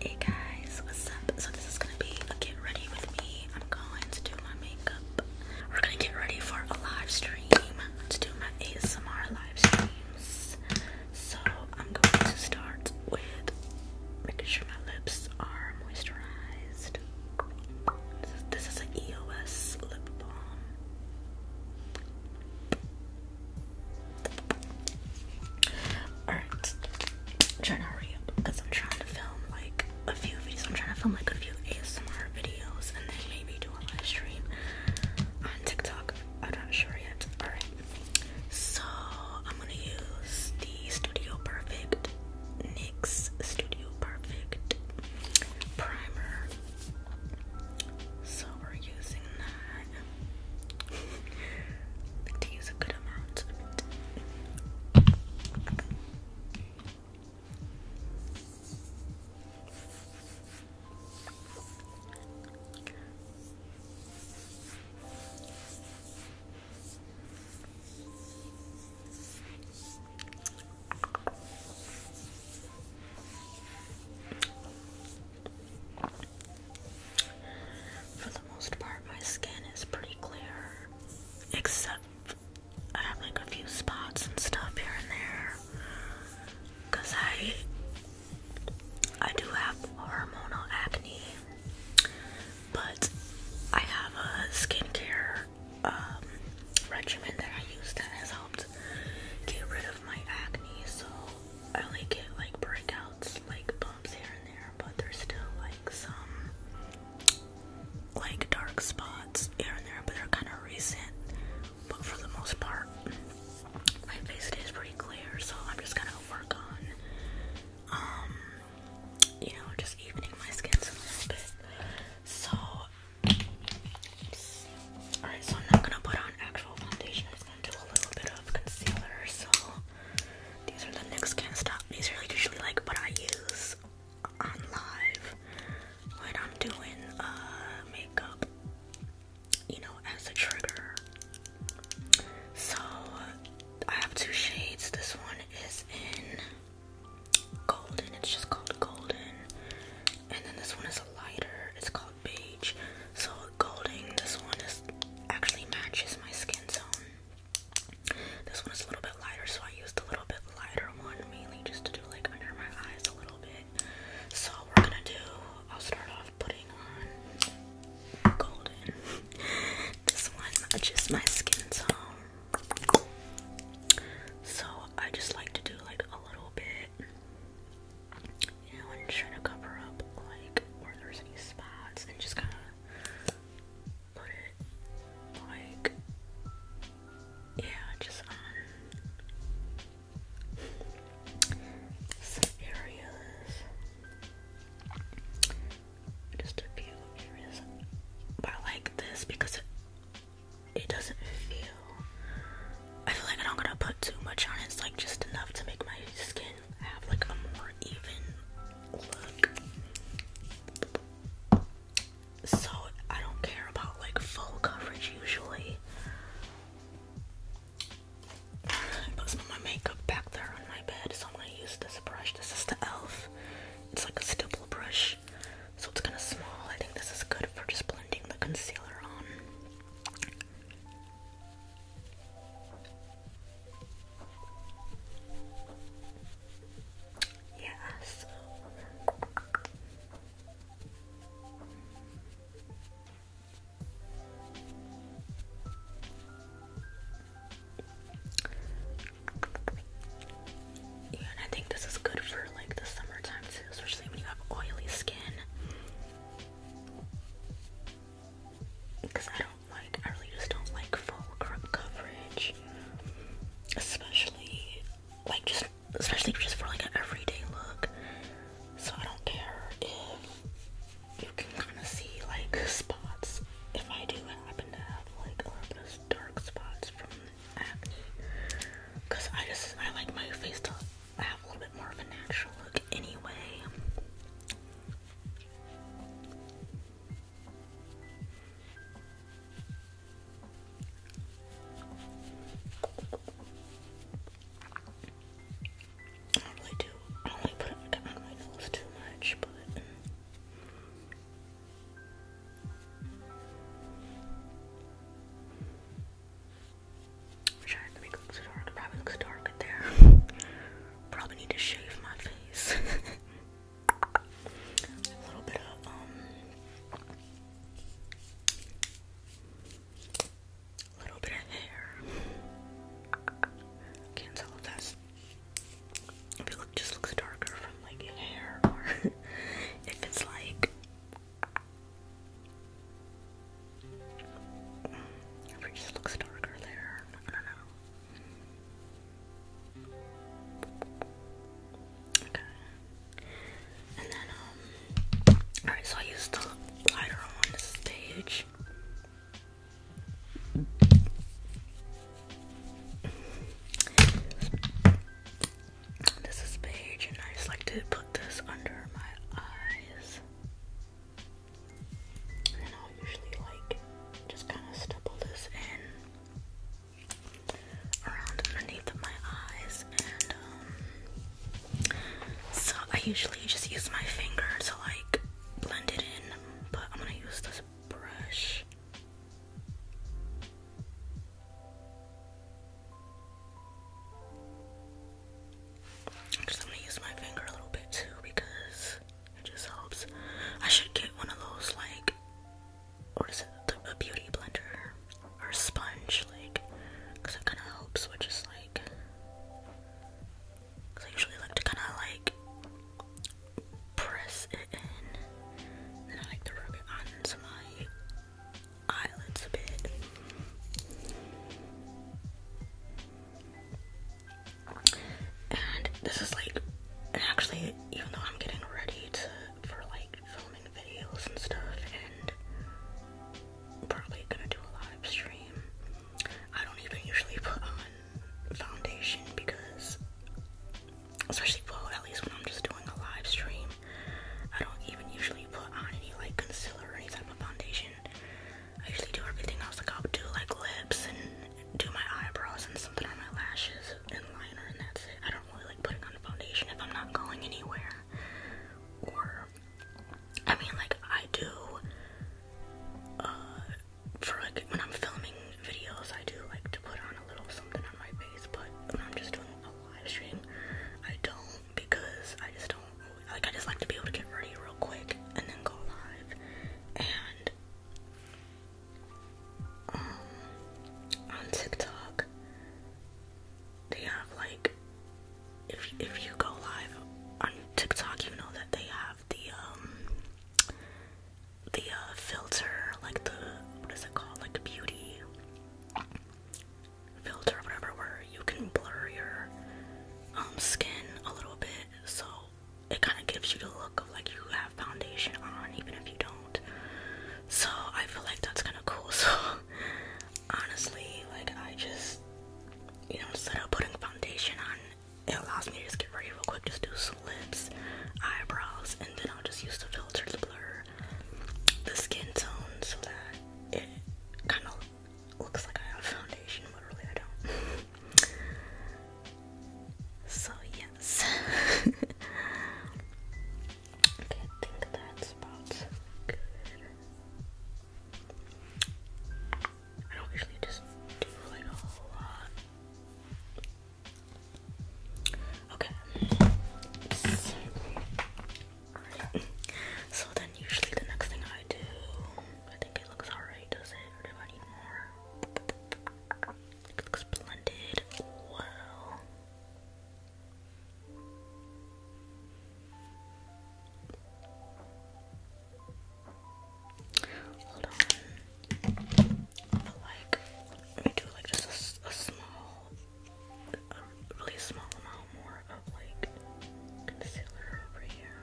Hey guys, what's up? So this is gonna be a get ready with me. I'm going to do my makeup. We're gonna get ready for a live stream to do my ASMR live streams. So I'm going to start with making sure my lips are moisturized. This is, this an EOS lip balm. Alright. I'm trying to hurry up because I'm trying to film like a few videos. I'm trying to film like a few ASMR videos and then maybe do a live stream on TikTok. I'm not sure yet. Alright. So I'm gonna use the Studio Perfect NYX Studio Perfect primer. So we're using that that. like to good for the most part, my skin is pretty clear, except I have like a few spots and stuff here and there. Cause I I do have hormonal acne, but I have a skincare um, regimen that I use that has helped get rid of my acne. So I only get like breakouts, like here and there, but there's still like some like dark spots here and there, but they're kind of recent. But for the most part, my face is pretty clear, so I'm just gonna work on, um, you know, just evening my skin a little bit. So, all right, so I'm not gonna put on actual foundation. I'm just gonna do a little bit of concealer. So. These are the next kind of stuff. These are usually like what I use on live when I'm doing uh, makeup, you know, as a trigger. So I have two shades. This one is in golden, it's just called golden. And then this one is a lighter, it's called beige. So golden, this one is actually matches my skin tone this one is a little bit lighter, so I used a little bit lighter one mainly just to do like under my eyes a little bit. So we're gonna do. I'll start off putting on golden. this one matches my skin tone, so I just like to do like a little bit. You know, am trying to cover up like where there's any spots and just kind of put it like yeah, just on some areas. Just a few areas. But I like this because it, doesn't feel I feel like I am not going to put too much on it. It's like just enough to make my skin have like a more even look. So I don't care about like full coverage usually. I put some of my makeup back there on my bed, so I'm gonna use this brush. This is the e.l.f. It's like a stipple brush, so it's kind of small. I think this is good for just blending the concealer on. Yes. Yeah, and I think this is good for like the summertime too, especially when you have oily skin because I don't like, I really just don't like full coverage, especially like just, especially just for like an everyday look. So I don't care if you can kind of see like spots. If I do happen to have like a dark spots from acne, because I just I like my face to have a little bit more of a natural look anyway. I don't really do, I don't really put it on my nose too much, but. I'm sure the makeup looks dark. It probably looks dark in there. Probably need to shave my face. a little bit of um a little bit of hair. Can't tell if it just looks darker from like hair or if it's like it just looks darker there. I don't know. Okay. And then, um, alright, so I used the glider on the stage. This is beige, and I just like to put this under my eyes i usually just um, so I usually just use my finger to like blend it in but I'm gonna use this brush i use my finger a little bit too because it just helps. I should get one of those like what is it? A beauty blender or sponge, like, because it kind of helps with just like. I usually like to kind of like press it in, and I like to rub it onto my eyelids a bit. And this is like, actually, even though I'm getting ready to for like filming videos and stuff, and probably gonna do a live stream, I don't even usually put on foundation because, especially well, at least when I'm just doing a live stream, I don't even usually put on any like concealer or any type of foundation. I usually do everything else, like I'll do like lips and do my eyebrows and something on my lashes and liner and that's it. I don't really like putting on foundation if I'm not going anywhere. Or I mean like I do uh, for like when I'm filming videos I do like to put on a little something on my face but when I'm just doing a live stream I don't because I just don't like I just like to be able to get ready real quick and then go live and um, on TikTok, they have like, if if you go live on TikTok, you know that they have the um, the uh, filter, like the what is it called, like beauty filter, whatever, where you can blur your um, skin a little bit, so it kind of gives you the look of like you have foundation on even if you don't. So I feel like that's kind of cool. So honestly, like I just you know instead of putting foundation on, it allows me to just get ready real quick, just do some lips, eyebrows, and then I'll just use the filter to blur the skin tone so that it kind of looks like I have foundation, but really I don't. So yes. okay, think that's about good. I don't usually just do like a whole lot. Okay. So then usually the next thing I do, I think it looks alright, does it? do I need more? It looks blended. Wow. Hold on. like, let me do like just a, small, really small amount more of like concealer over here.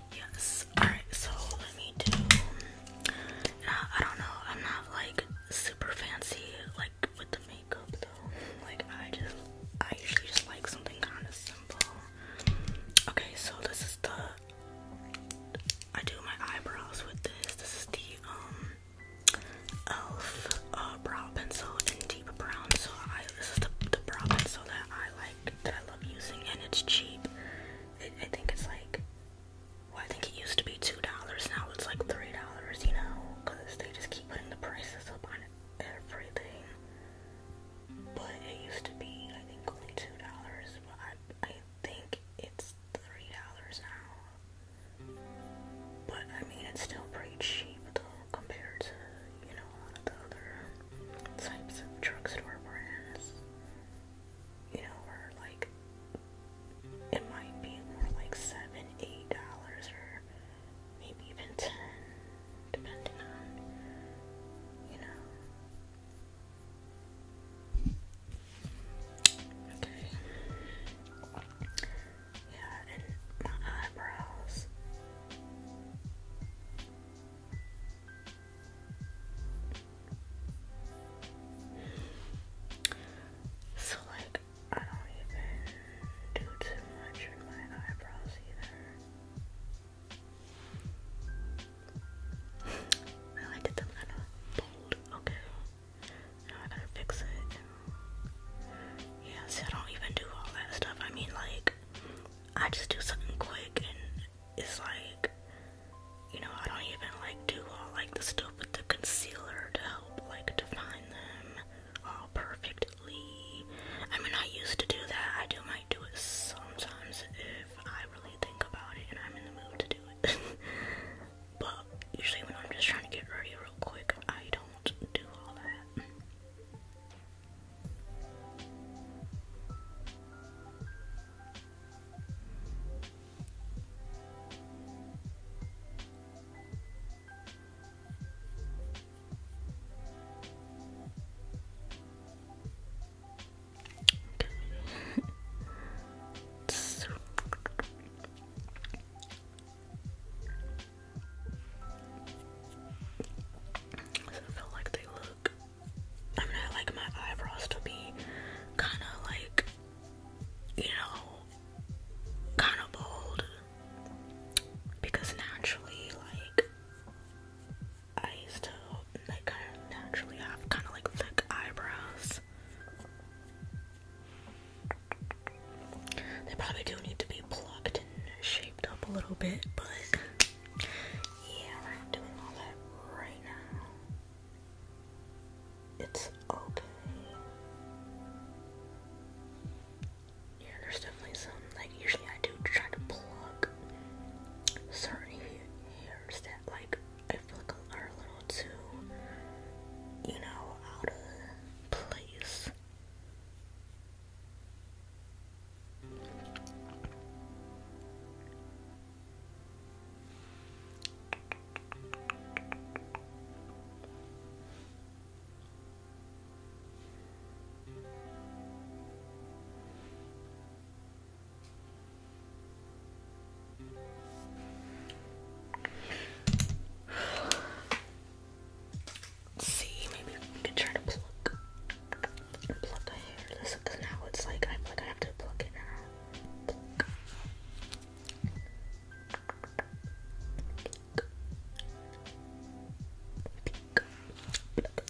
Yes. Alright, so let me do. Now, uh, I don't know. I'm not like super fancy like with the makeup though. Like I just, I usually just like something kind of simple. Okay, so this is the. I do my eyebrows with this. This is the um elf uh, brow pencil in deep brown. So I this is the, the brow pencil that I like that I love using, and it's cheap. It, I think it's like, well, I think it used to be two dollars. Now it's like three dollars. You know, because they just keep putting the prices up on everything. But it used to be, I think, only two dollars. But I, I think it's three dollars now. But I mean, it's still pretty cheap though compared to you know a lot of the other types of drugstore brands, you know, are like it might be more like seven, eight dollars, or maybe even ten, depending on you know. Okay. Yeah, and my eyebrows. So, like, I don't even do too much in my eyebrows either. I like it them kind bold. Okay. Now I gotta fix it. Yeah, I don't even do all that stuff. I mean, like, I just do something quick and is like, you know, I don't even like do all like the stuff with the concealer to help like define them all perfectly. I mean, I used to do that. I do my do it sometimes if I really think about it and I'm in the mood to do it. but usually when I'm just trying to get ready real quick, I don't do all that. I feel like they look I'm gonna like my eyebrows to be kind of like, you know, kind of bold because naturally, like, I used to like kind of naturally have kind of like thick eyebrows. They probably do need to be plucked and shaped up a little bit, but yeah, I'm doing all that right now. It's okay. Yeah, there's definitely some, like, usually I do try to plug certain hairs that, like, I feel are a little too, you know, out of place. Let's see, maybe we can try to plug pluck a hair. This because now it's like I'm like I have to pluck it now. Pluck. Pluck. Pluck. Pluck. Pluck.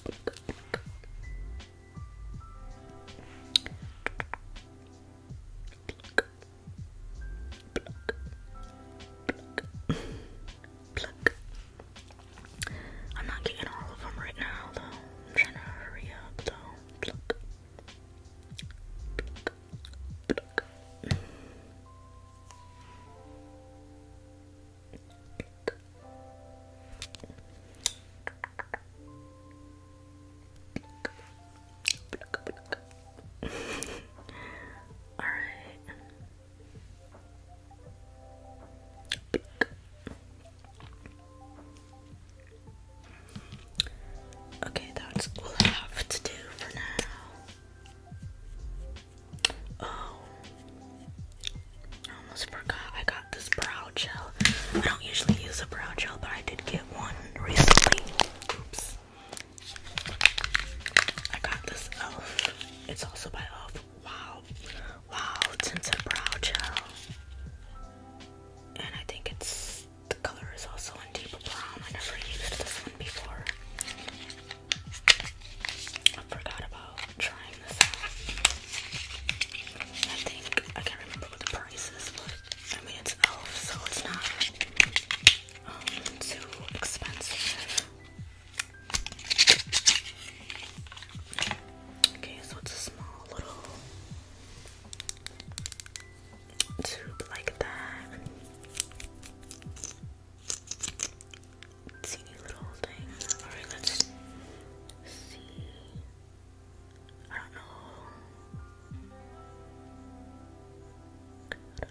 Pluck. Pluck. Pluck. Pluck. Pluck. I'm not getting all of them right now, though. I'm trying to hurry up, though. All right. Okay, that's all I have to do for now. Oh, I almost forgot I got this brow gel. I don't usually use a brow gel, but I did get one recently. Oops. I got this e.l.f. It's also by e.l.f. Wow, wow, tinted brow gel, and I think it's the color is also in deep brown. I never used this one before. I forgot about trying this out. I think I can't remember what the price is, but I mean it's elf, so it's not um, too expensive. Okay, so it's a small little tube like that. Teeny little thing. Alright, let's see. I don't know. Okay.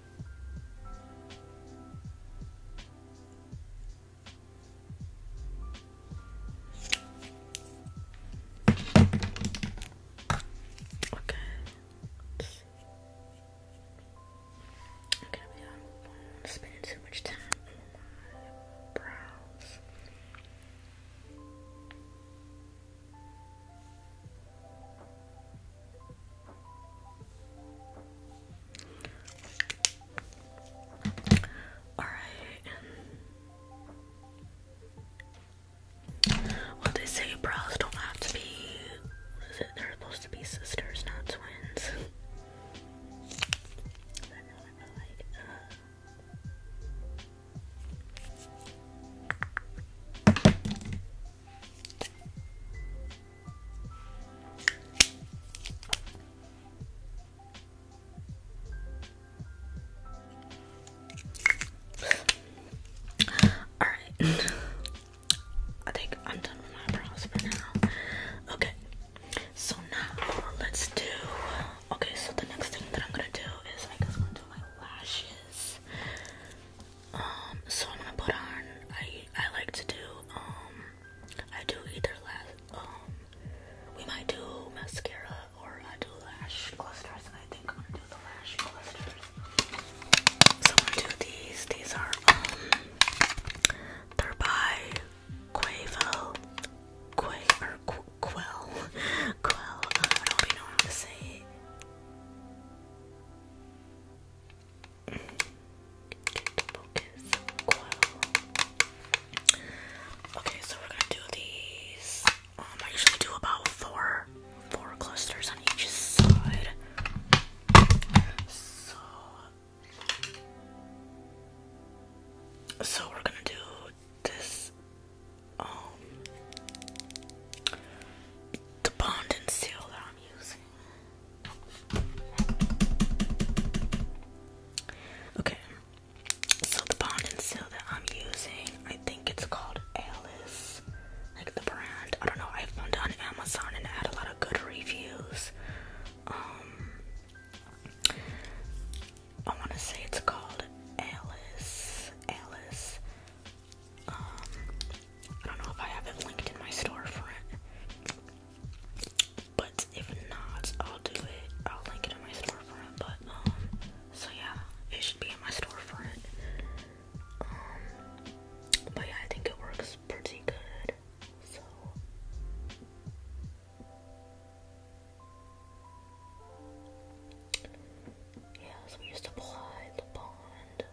Okay. I'm gonna um, too much time on my brows. Alright. Well, they say brows don't have to be. They're supposed to be sisters, not twins. All right. I think I'm done with my brows for now. Okay. So now let's do Okay, so the next thing that I'm gonna do is I guess i gonna do my lashes. Um, so I'm gonna put on. I I like to do. Um, I do either last. Um, we might do mascara or I do lash clusters, and I think I'm gonna do the lash clusters. So I'm gonna do these. These are they're by Quavo, Quay or Quell, Quell. Uh, I don't know how to say. It. Okay, so we're gonna do these. Um, I usually do about four, four clusters on each side. So, so we're gonna do this. Um, the bond and seal that I'm using. Okay, so the bond seal that I'm using, I think it's called Alice, like the brand. I don't know. I found it on Amazon and it had a lot of good reviews. Um, I want to say it's called Alice. Alice. Um, I don't know if I have it linked in my storefront. But if not, I'll do it. I'll link it on my storefront. But um, so yeah, it should be in my storefront. Um, but yeah, I think it works pretty good. So. Yes, we used apply the bond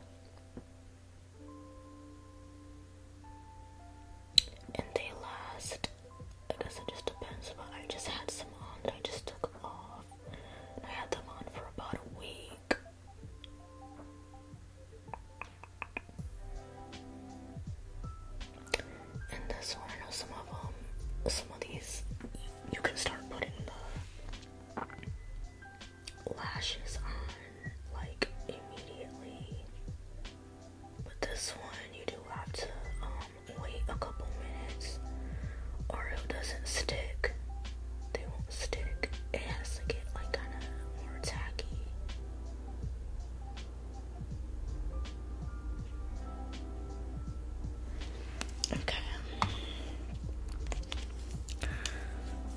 and they last I guess it just depends but I just had some on I just took off I had them on for about a week and this one I know some of them some of these you can start putting the lashes on like immediately. But this one, you do have to um, wait a couple minutes or it doesn't stick. They won't stick. It has to get like kind of more tacky. Okay.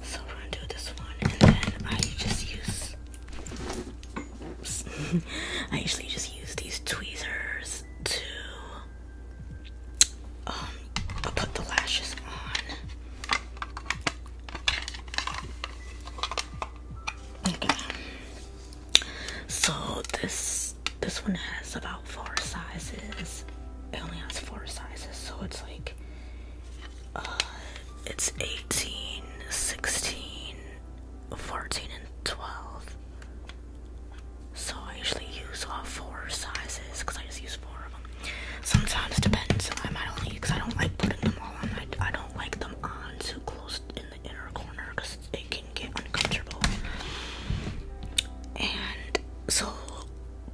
So we're gonna do this one and then I just use I usually just use these tweezers to um, put the lashes on. Okay. So this this one has about four sizes. It only has four sizes, so it's like uh, it's 18, 16, 14, and 12. So I usually use all four sizes because I just use four of them. Sometimes depends. I might only because I don't like putting them all on. I don't like them on too close in the inner corner because it can get uncomfortable. And so,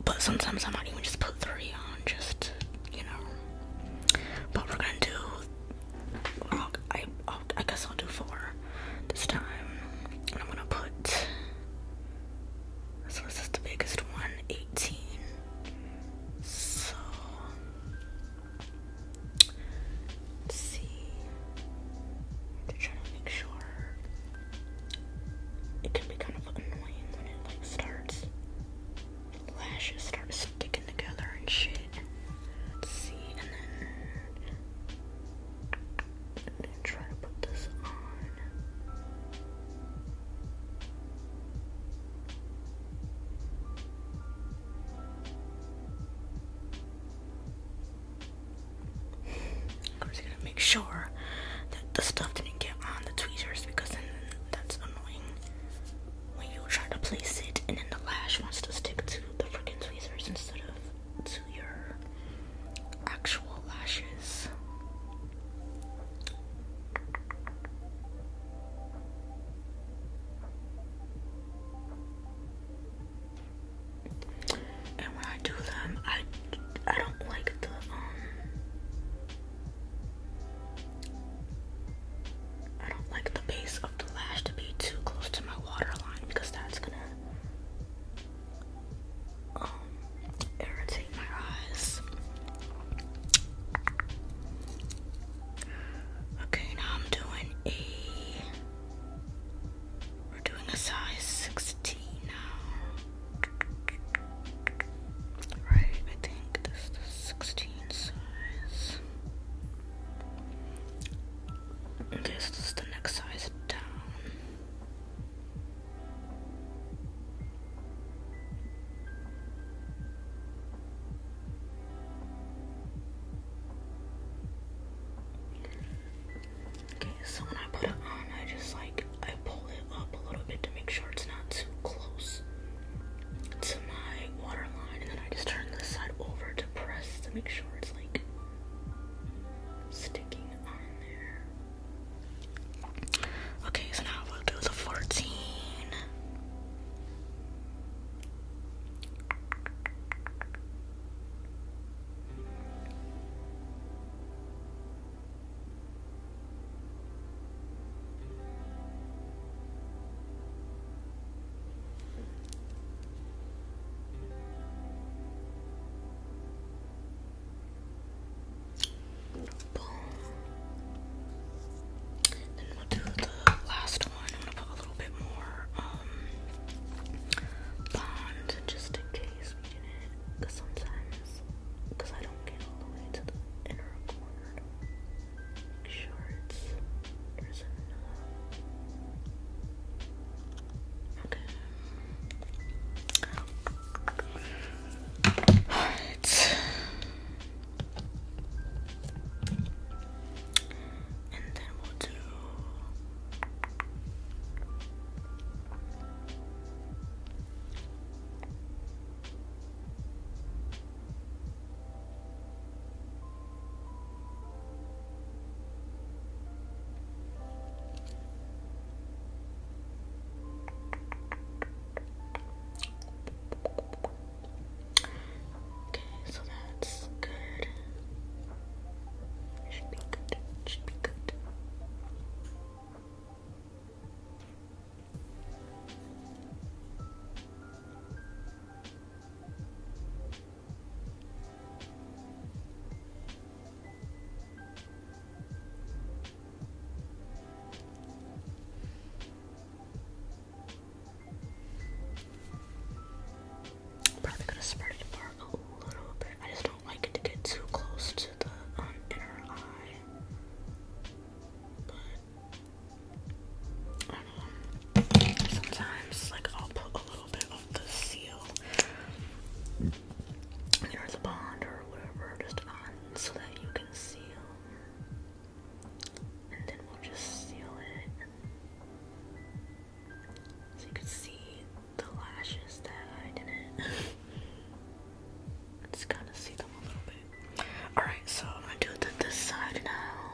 but sometimes I might even just put three on just you know but we're gonna do. Oh, I guess I'll do four this time. And I'm gonna put. So this the biggest one, 18. So let's see. To to make sure it can be kind of annoying when it starts lashes start sticking together and shit. Let's see, and then, try to put this on. Of course, gotta make sure that the stuff didn't get on the tweezers because then that's annoying when you try to place it and then the lash wants to stick to the freaking tweezers instead of to your actual lashes. And when I do them, I I don't like the um I don't like the base of the lash to be too close to my waterline because that's gonna um, irritate my eyes. Okay, now I'm doing a. We're doing a size 16 now. Right, I think this is 16. Okay, so this is the next size down. Okay, so when I put it on, I just like I pull it up a little bit to make sure it's not too close to my water line, and then I just turn this side over to press to make sure it's like sticking on there. Okay, so now we'll do the 14. Boom. Then we'll do the last one. I'm gonna put a little bit more um, bond just in case because sometimes because I don't get all the way to the inner corner shorts or something. Okay. Alright. And then we'll do. Okay, so that's good. Should be good. Should be good. Probably could have spread it apart a little bit. I just don't like it to get too close to the um, inner eye sometimes, like, I'll put a little bit of the seal near the bond or whatever, just on so that you can seal. And then we'll just seal it. So you can see the lashes that I didn't. Just kind see them a little bit. Alright, so I'm gonna do it this side now.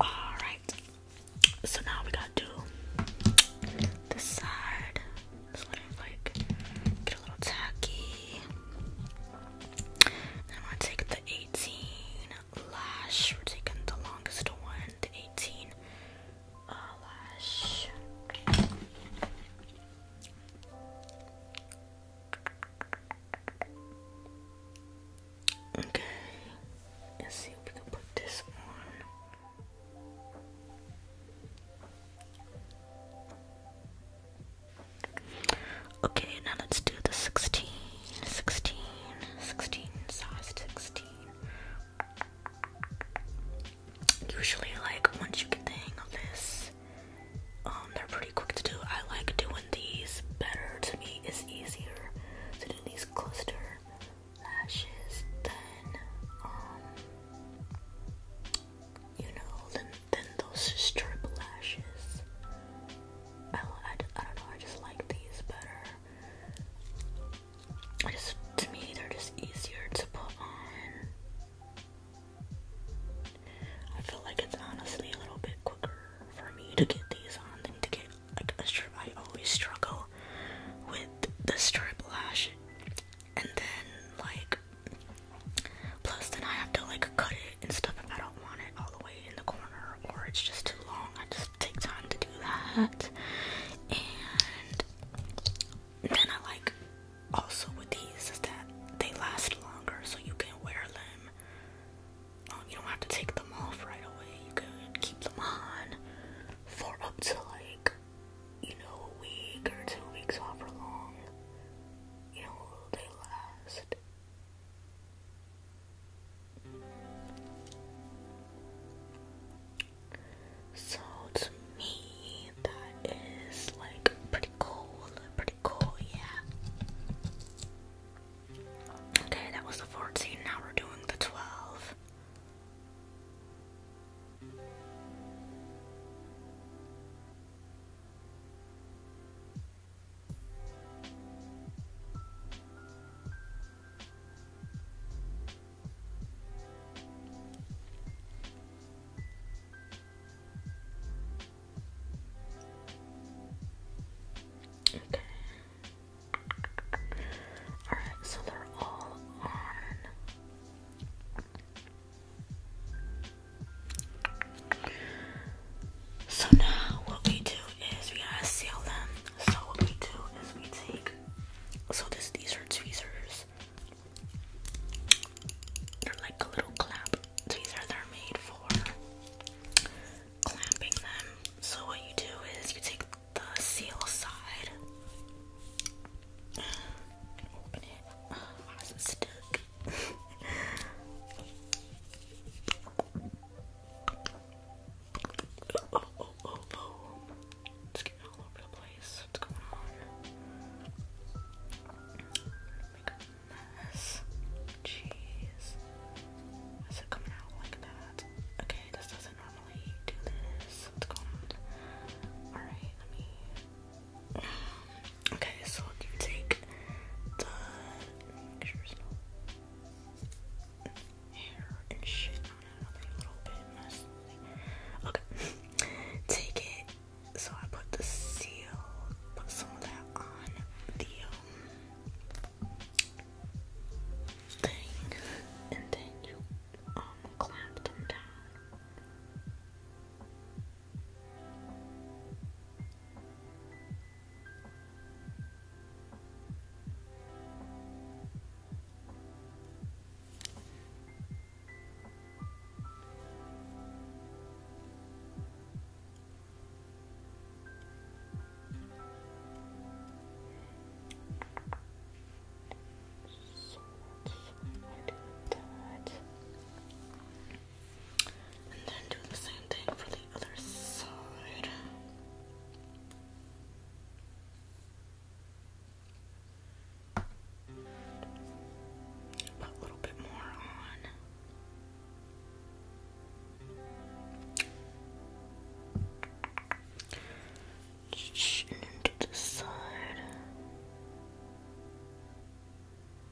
All right, so now we gotta do this side. Just like get a little tacky. I'm gonna take the 18 lash. We're taking the longest one, the 18 uh, lash. Okay, let's see if we can put this on. Okay, now let's do the 16, size 16. Usually, like, once you get the hang of this, um, they're pretty quick to do. I like doing these better. To me, it's easier to do these cluster lashes than, um, you know, than those strip lashes. I, I don't know. I just like these better. I just to me they're just easier to put on. I feel like it's honestly a little bit quicker for me to get these on than to get like a strip. I always struggle with the strip lash, and then like Plus, then I have to like cut it and stuff if I don't want it all the way in the corner or it's just too long. I just take time to do that. And then I like also with these is that they last longer so you can wear them. Um, you don't have to take them off right away. You can keep them on for up to like, you know, a week or two weeks, however long, you know, they last. So to me, that is like pretty cool, pretty cool, yeah. Okay, that was the 14, now we're doing the 12. Okay. All right, so they're all on. So now what we do is we gotta seal them. So what we do is we take so this these are tweezers. They're like a little clamp tweezer. They're made for clamping them. So what you do is you take the seal side and open it. Oh, oh, oh, oh, oh. It's getting all over the place. What's going on? Make a mess. Jeez. Is it coming out like that? Okay, this doesn't normally do this. What's going on? Alright, let me. Okay, so you take the pictures hair and shit Okay. Take it. So I put the seal, put some of that on the um, thing, and then you um clamp them down. So that's I did that. And then do the same thing for the other side. Put a little bit more on. into the side.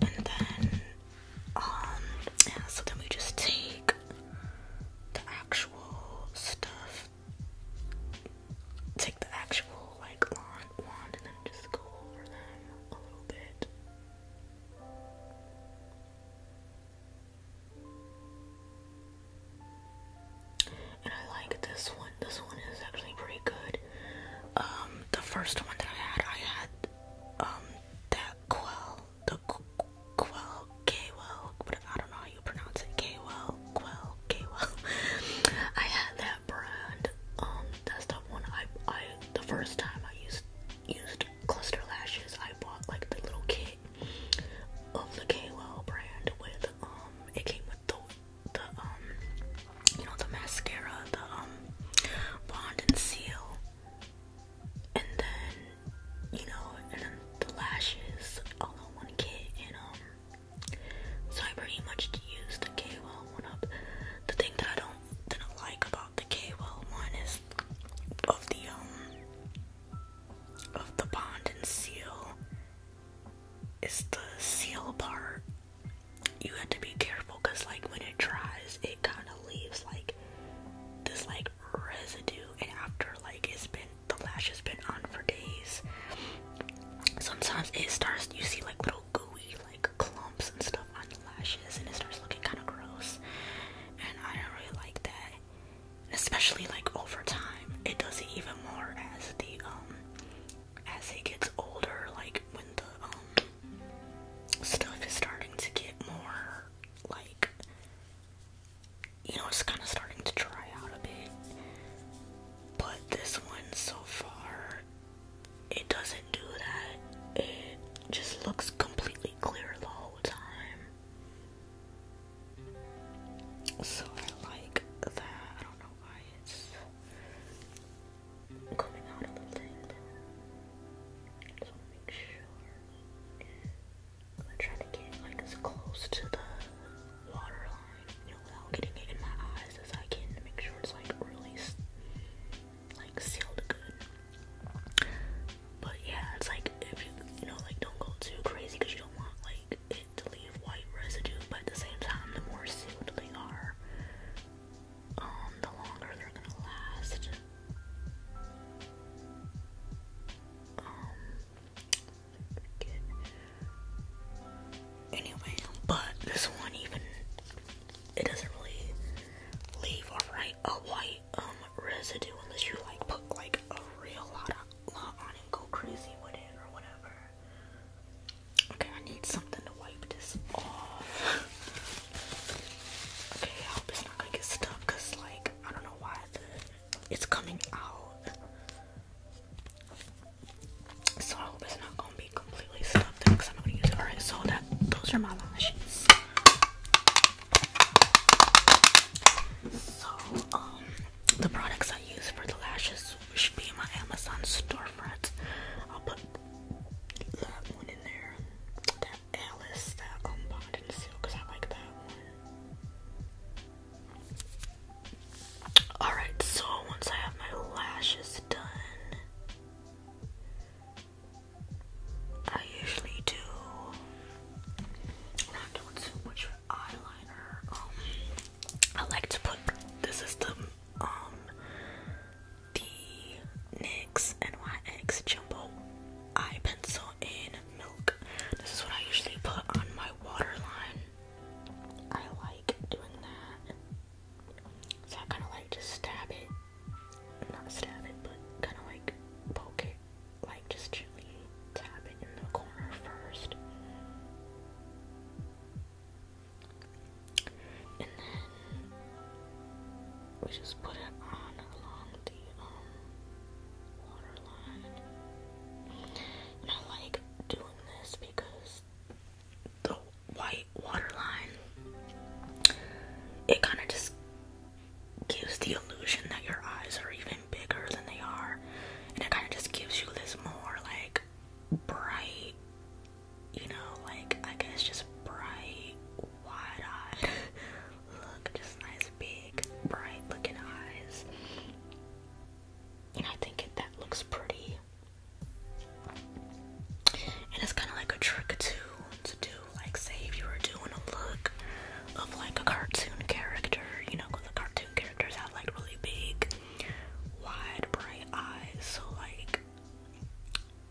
And then, um, so then we just take the actual stuff, take the actual, like, wand and then just go over them a little bit. And I like this one. This one is actually pretty good. Um, the first one that I had, I had um, that quell, the quell, kwell, but I don't know how you pronounce it. Kwell, quell, kwell. I had that brand. Um, that's the one I the first time I used used cluster lashes. I bought like the little kit of the kwell brand with um, it came with the um, you know the mascara, the um, bond and seal and then you know and then the lashes all in one kit and um so I pretty much used the KOL one up. The thing that I don't didn't like about the KOL one is of the um of the bond and seal it's the seal part. You have to be careful because like when it dries, it kind of leaves like this like residue, and after like it's been the lash has been on for days, sometimes it starts. You see like little gooey like clumps and stuff on the lashes, and it starts looking kind of gross. And I don't really like that especially like over time it does it even more as the um as it gets older like when the um stuff is starting to get more like you know it's kind of starting to dry out a bit but this one so far it doesn't do that it just looks completely clear the whole time so I like that. I don't know why it's coming out a little bit. Just make sure. I'm trying to get like as close to the water line, you know, without getting it in my eyes as I can make sure it's like really like sealed good. But yeah, it's like if you, you know, like don't go too crazy because you don't want like it to leave white residue, but at the same time, the more sealed they are, um, the longer they're gonna last. Um, Anyway, but this one even it doesn't really leave a right a white um residue unless you like put like a real lot of Okay, I need something to wipe this off. okay, I hope it's not gonna get stuck because, like, I don't know why it's coming out. So I hope it's not gonna be completely stuck because I'm not gonna use it. Alright, so that those are my lashes. So, um, the products I use for the lashes should be in my Amazon storefront. I'll put that one in there. That Alice, that um, and seal, because I like that one. Alright, so once I have my lashes done, I usually do eyeliner. Um, I like to put this is the um the NYX NYX Jumbo Eye Pencil in Milk. This is what I usually put on my waterline. I like doing that. So I kind of like just stab it, not stab it, but kind of like poke it, like just actually tap it in the corner first. And then we just put it on along the um, I like doing this because the white water it kind of just gives the illusion that your eyes are even bigger than they are, and it kind of just gives you this more like bright, you know, like I guess just bright, wide-eyed look, just nice, big, bright-looking eyes, and I think that looks pretty. And it's kind of like a trick too to do, like say if you were doing a look of like a cartoon character, you know, because the cartoon characters have like really big wide, bright eyes. So, like,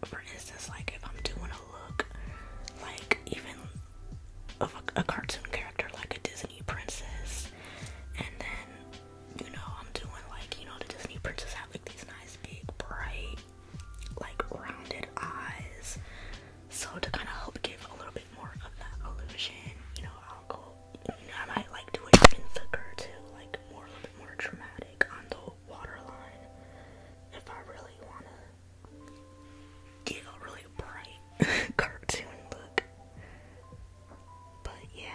for instance, like if I'm doing a look, like even of a, a cartoon character, like a Disney princess, and then you know I'm doing like you know the Disney princess have like these nice big bright, like rounded eyes. So to kind of help give a little bit more of that illusion, you know, I'll go I might like do it thicker too, like more a little bit more dramatic on the waterline if I really wanna get a really bright cartoon look. But yeah.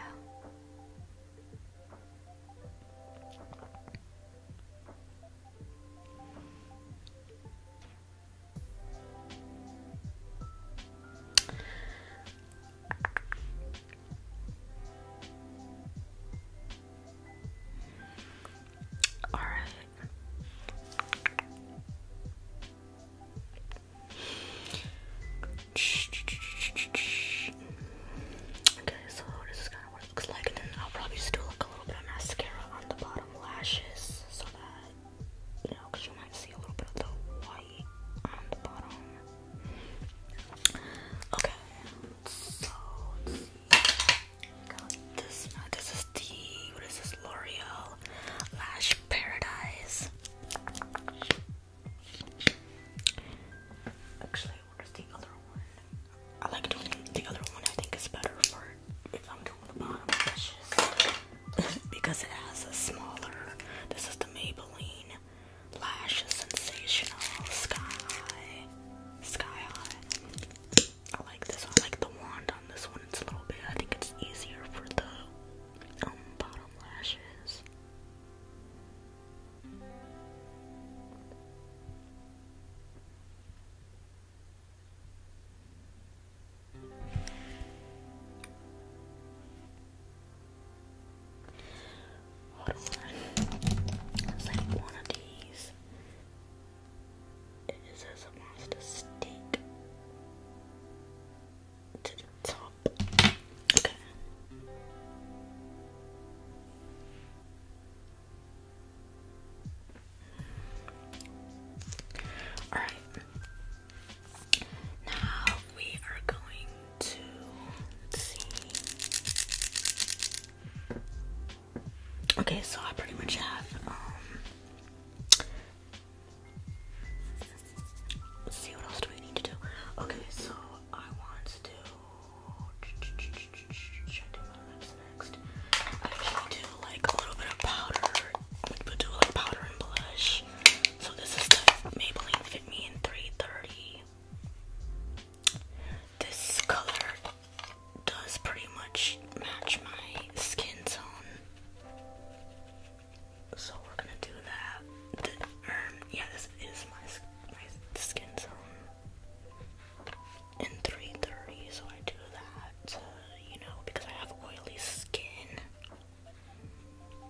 All right. Okay, so this is kind of what it looks like, and then I'll probably just do a little bit of mascara on the bottom lashes so that you might see a little bit of the white on the bottom. Okay, so This, no, uh, this is the, what is this, L'Oreal Lash Paradise. Actually, where's the other one? I like doing the other one, I think it's better for if I'm doing the bottom lashes. because it has a smaller. This is the Maybelline Lash Sensational Sky High. I like this. I like the wand on this one. It's a little bit. I think it's easier for the um, bottom lashes. Hold on. one of these. It says it wants stick to the top. Okay. Alright. Now we are going to Okay, so I pretty much have um, let's see what else do we need to do. Okay, so I want to do I do my do like a little bit of powder, but do like powder and blush. So this is the Maybelline me in 330. This color does pretty much match my skin tone. So we're gonna do that. Um, yeah, this is my, my skin tone in 330, so I do that, uh, you know, because I have oily skin. And then I kind of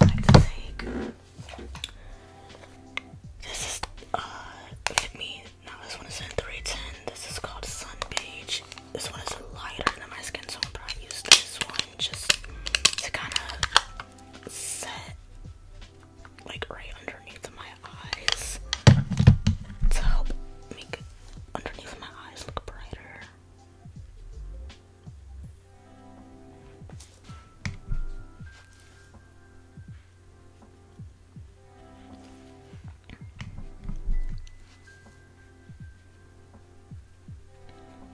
like to take this is uh fit me now this one is in 310 this is called sun beige this one is lighter than my skin so I'm probably use this one just to kind of set like right underneath my eyes to help make underneath my eyes look brighter.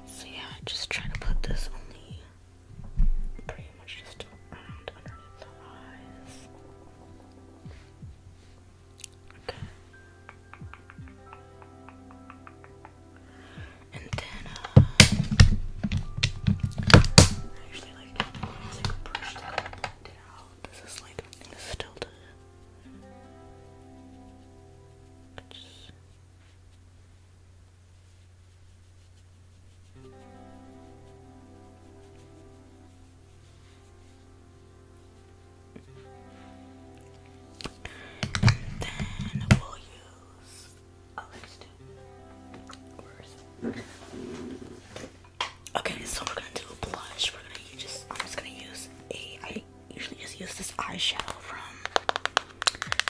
So yeah, just trying to put this on only pretty much just around underneath the eyes. Okay. And uh, I usually like to kind of blend This is like, still the. It's Okay, so we're gonna do a blush. We're gonna use just I'm just gonna use a I usually just use this eyeshadow from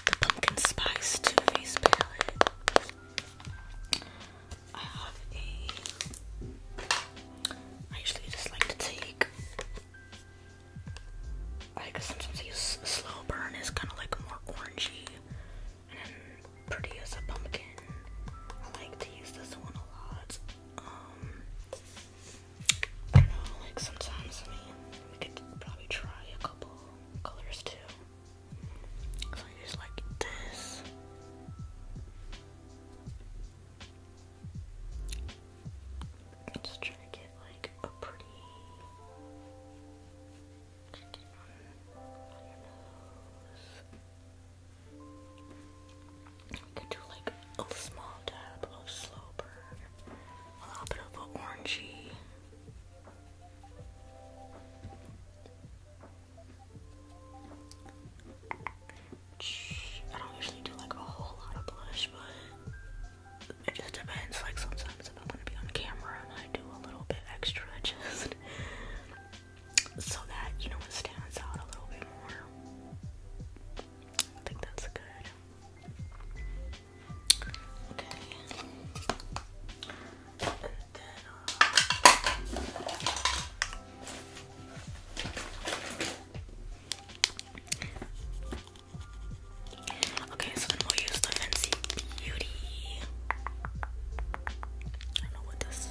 the pumpkin spice two face palette. I usually just like to take. Like sometimes use slow burn is kind of like more orangey and pretty as a pumpkin. I like to use this one a lot. Um, like sometimes we could probably try a couple colors too. So use like this. Just try to get like a pretty on, on do like a small dab of slow burn, a little bit of an orangey. I don't usually do like a whole lot of blush, but it just depends. Like sometimes I'm gonna be on camera and I do a little bit extra just so that you know it stands out a little bit more. I think that's good. Okay. Okay, so then we'll use the Fancy Beauty. I know what this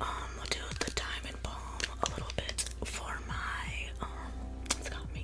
Um, we'll do the Diamond Balm a little bit for my, um,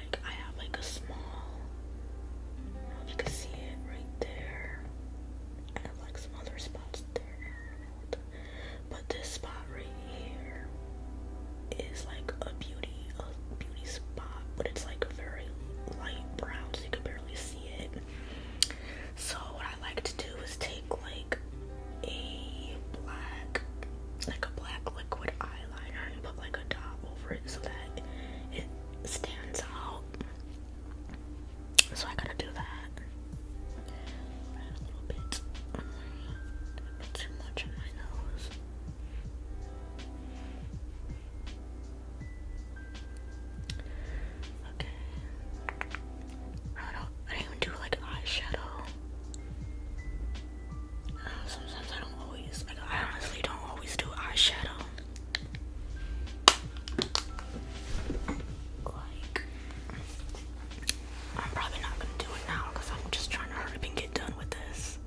I have like a small, if you can see it right there. I like some other spots there, but this spot right here is like a beauty, a beauty spot, but it's like a very light brown, so you can barely see it. So what I like to do is take like a black, like a black liquid eyeliner, and put like a dot over it so that it stands out. So I gotta do that. Okay. I don't I didn't even do like eyeshadow. Uh, sometimes I don't always I honestly don't always do eyeshadow. I'm probably not gonna do it now because I'm just trying to hurry and get done with this.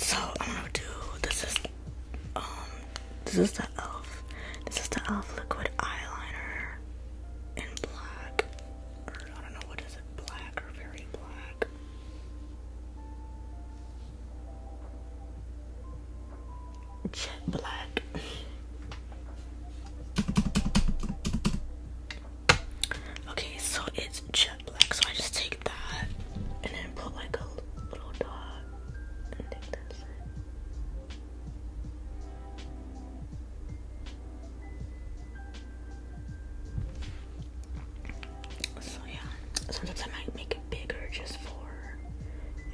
So I'm gonna do this is um this is the elf this is the elf liquid eyeliner in black or I don't know what is it black or very black Jet black. Okay, so it's jet black. So I just take that and then put like a little dot and think that's it. So yeah, sometimes I might make it bigger just for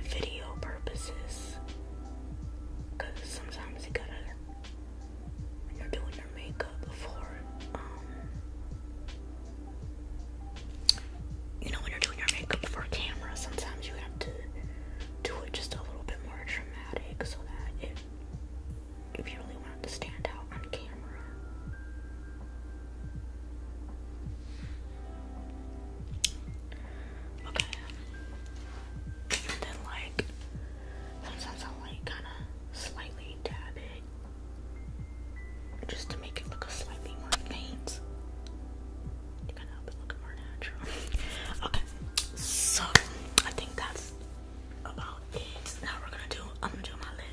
video purposes. Cause sometimes you gotta you're doing your makeup before um you know when you're doing your makeup for camera sometimes you have to do it just a little bit more dramatic so that it if you really wanted to stand out on camera Okay. then like sometimes I like kinda slightly dab it just to make it look a slightly more faint. You kinda help it look more natural. okay. So I think that's about it. Now we're gonna do I'm gonna do my lip.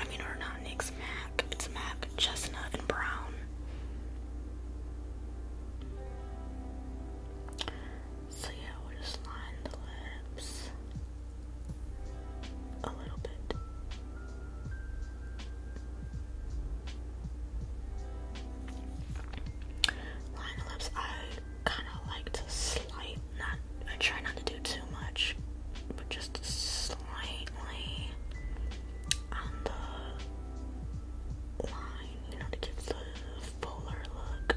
I mean, or not Nix, Mac. It's Mac, Chestnut, and Brown. So, yeah, we'll just line the lips a little bit. Line the lips, I kind of like to slight, not, I try not to do too much but just slightly on the line, you know, to give the fuller look.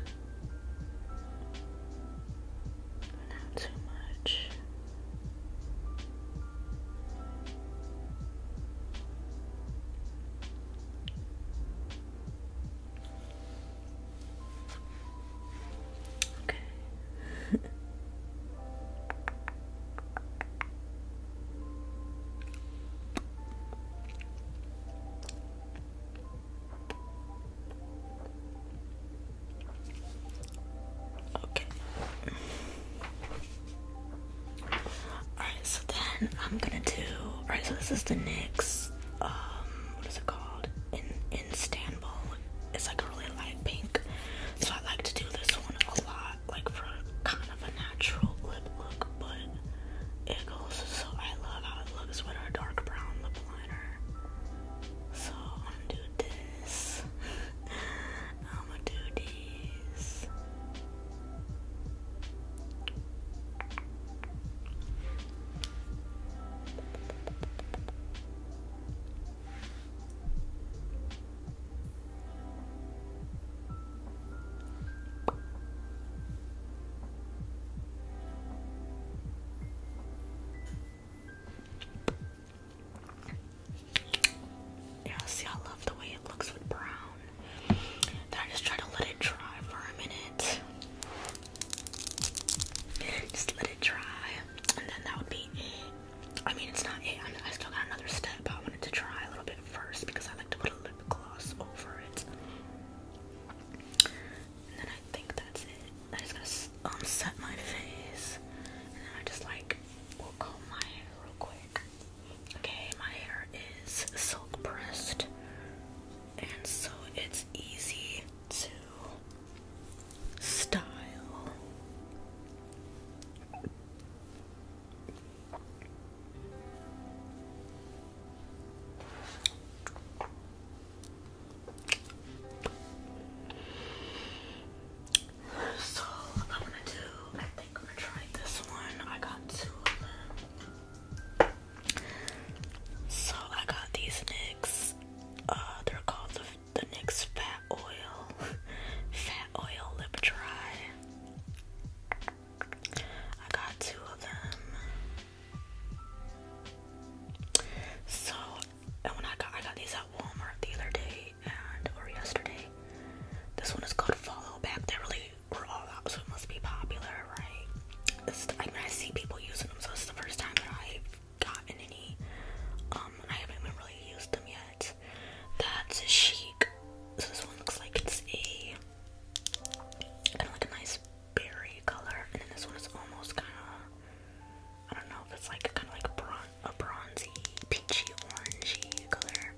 Not too much. Okay, okay. Alright, so then I'm gonna do. Alright, so this is the NYX. Um, what is it called? In in Istanbul. It's like a really light pink. So I like to do this one a lot, like for kind of a natural lip look, but it goes so I love how it looks with our dark brown lip liner. So I'm gonna do this. I'm gonna do this. Yeah, see, I love the way it looks with brown. Then I just try to let it dry for a minute. Just let it dry, and then that would be I mean, it's not it. I'm, I still got another step, but I wanted to try a little bit first because I like to put a lip gloss over it. And then I think that's it. I just gotta um, set my face, and then I just like will comb my hair real quick. Okay, my hair is silk pressed, and so it's easy to style. So I'm gonna do I think I'm gonna try this one. I got two So I got these nicks. Uh, they're called the the NYX Fat Oil Fat Oil Lip Dry. I got two of them. So, and when I got I got these at Walmart the other day and or yesterday. This one is called Follow Back. They are really were all out, so it must be popular, right? I mean, I see people using them, so it's the first time that I've gotten any. Um, I haven't even really used them yet. That's a chic. So this one looks like it's a kind of like a nice berry color, and then this one is almost kind of I don't know if it's like kind of like bron a bronzy, peachy, orangey color.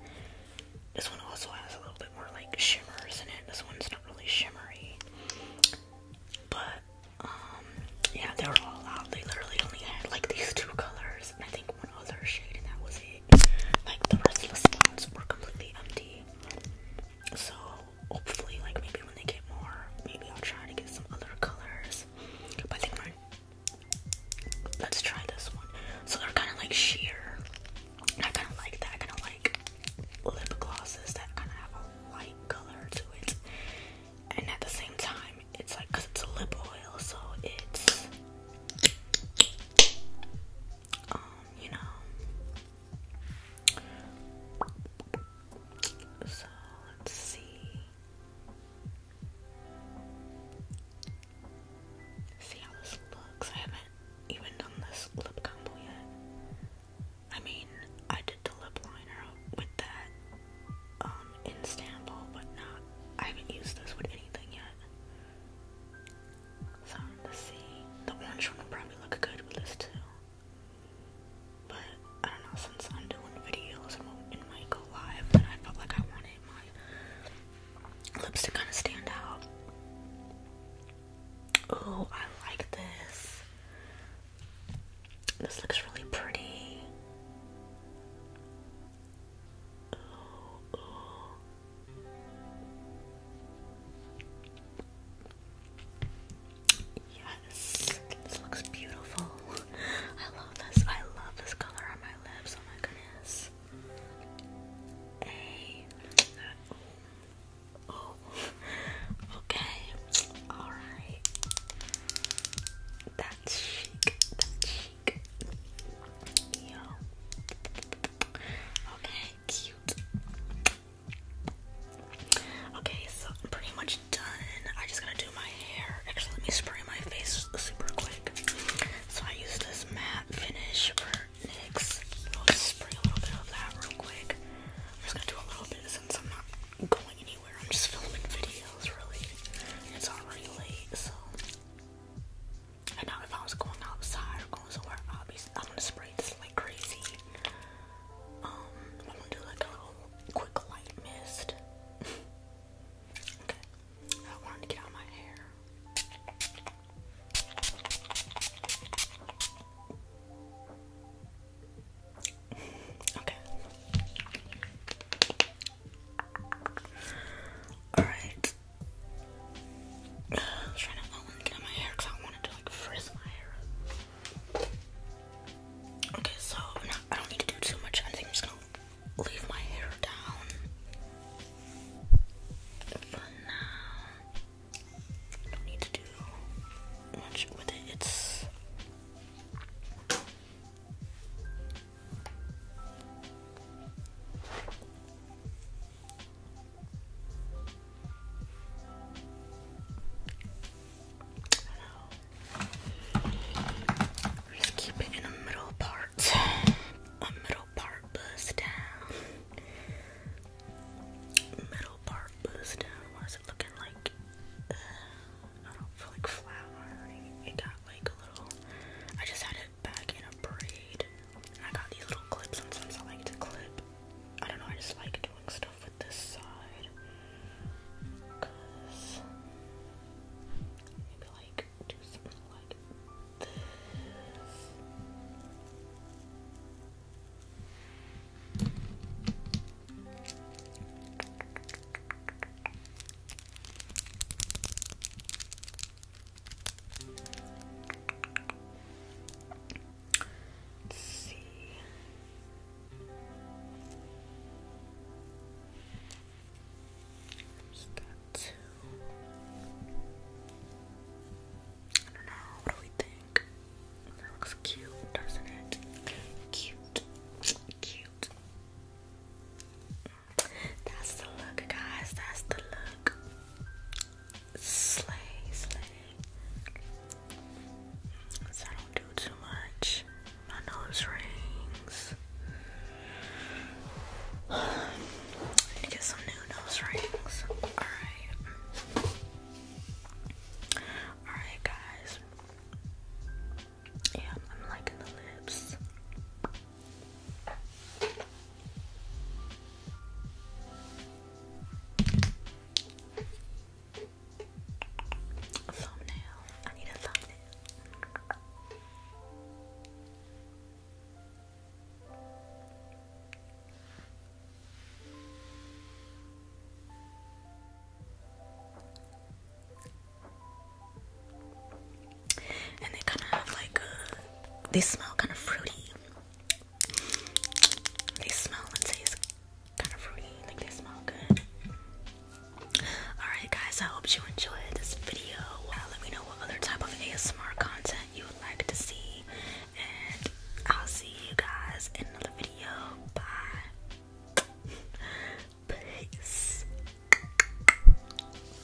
This one also has a little bit more like shimmers in it. This one's not really shimmery, but um, yeah, they were all out. They literally only had like these two colors, and I think. So hopefully like maybe when they get more, maybe I'll try to get some other colors. But I think we're let's try this one. So they're kinda like sheer. I kinda like that. I kinda like lip glosses that kinda have a light color to it. And at the same time, it's like because it's a lip oil so it's um you know so let's see see how this looks I haven't even done this lip combo yet I mean I did the lip liner with that um, in Istanbul, but not, I haven't used this with anything yet. So, let's see. The orange one will probably look good with this too. But, I don't know, since I'm doing videos and, might go live, then I felt like I wanted my lips kind of stand out. Oh, I like this. This looks really pretty. Yes, this looks beautiful. I love this. I love this color on my lips. Oh my goodness. Okay. All right. That's chic. That's chic. Okay, cute. Okay, so I'm pretty much done. I just gotta do my hair. Actually, let me spray my face super quick. So I use this matte finish for Nix. I'll just spray a little bit of that real quick. I'm just gonna do a little bit since I'm not going anywhere. I'm just filming videos, really. It's already late, so. I know if I was going outside or going somewhere, I'll be, I'm gonna spray this like crazy. Um, I'm gonna do like a little quick light mist. okay, I wanted to get out my hair. okay. Alright. I trying to, get my hair because I wanted to like frizz my hair. Okay, so I don't need to do too much. I think I'm just gonna leave my hair down for now. Don't need to do much with it. It's just keep it in the middle part. A middle part buzz down. Middle part buzz down. What is it looking like? Uh, I don't feel like flour. It got like a little. I just had it back in a braid. I got these little clips. Sometimes I like to clip. I don't know. I just like doing stuff with this side. maybe like do something like this. Let's see. Just two. I What do we think? That looks cute, doesn't it? Cute. Cute. That's the look, guys. That's the look. Slay, slay. I don't do too much. My nose rings. need to get some new nose rings. Alright. Alright, guys. Yeah, I'm liking the lips. A thumbnail. I need a thumbnail and they kind of have like a, they smell kind of fruity. They smell and taste kind of fruity, like they smell good. Alright, guys, I hope you enjoyed this video. Uh, let me know what other type of ASMR content you would like to see, and I'll see you guys in another video. Bye. Peace.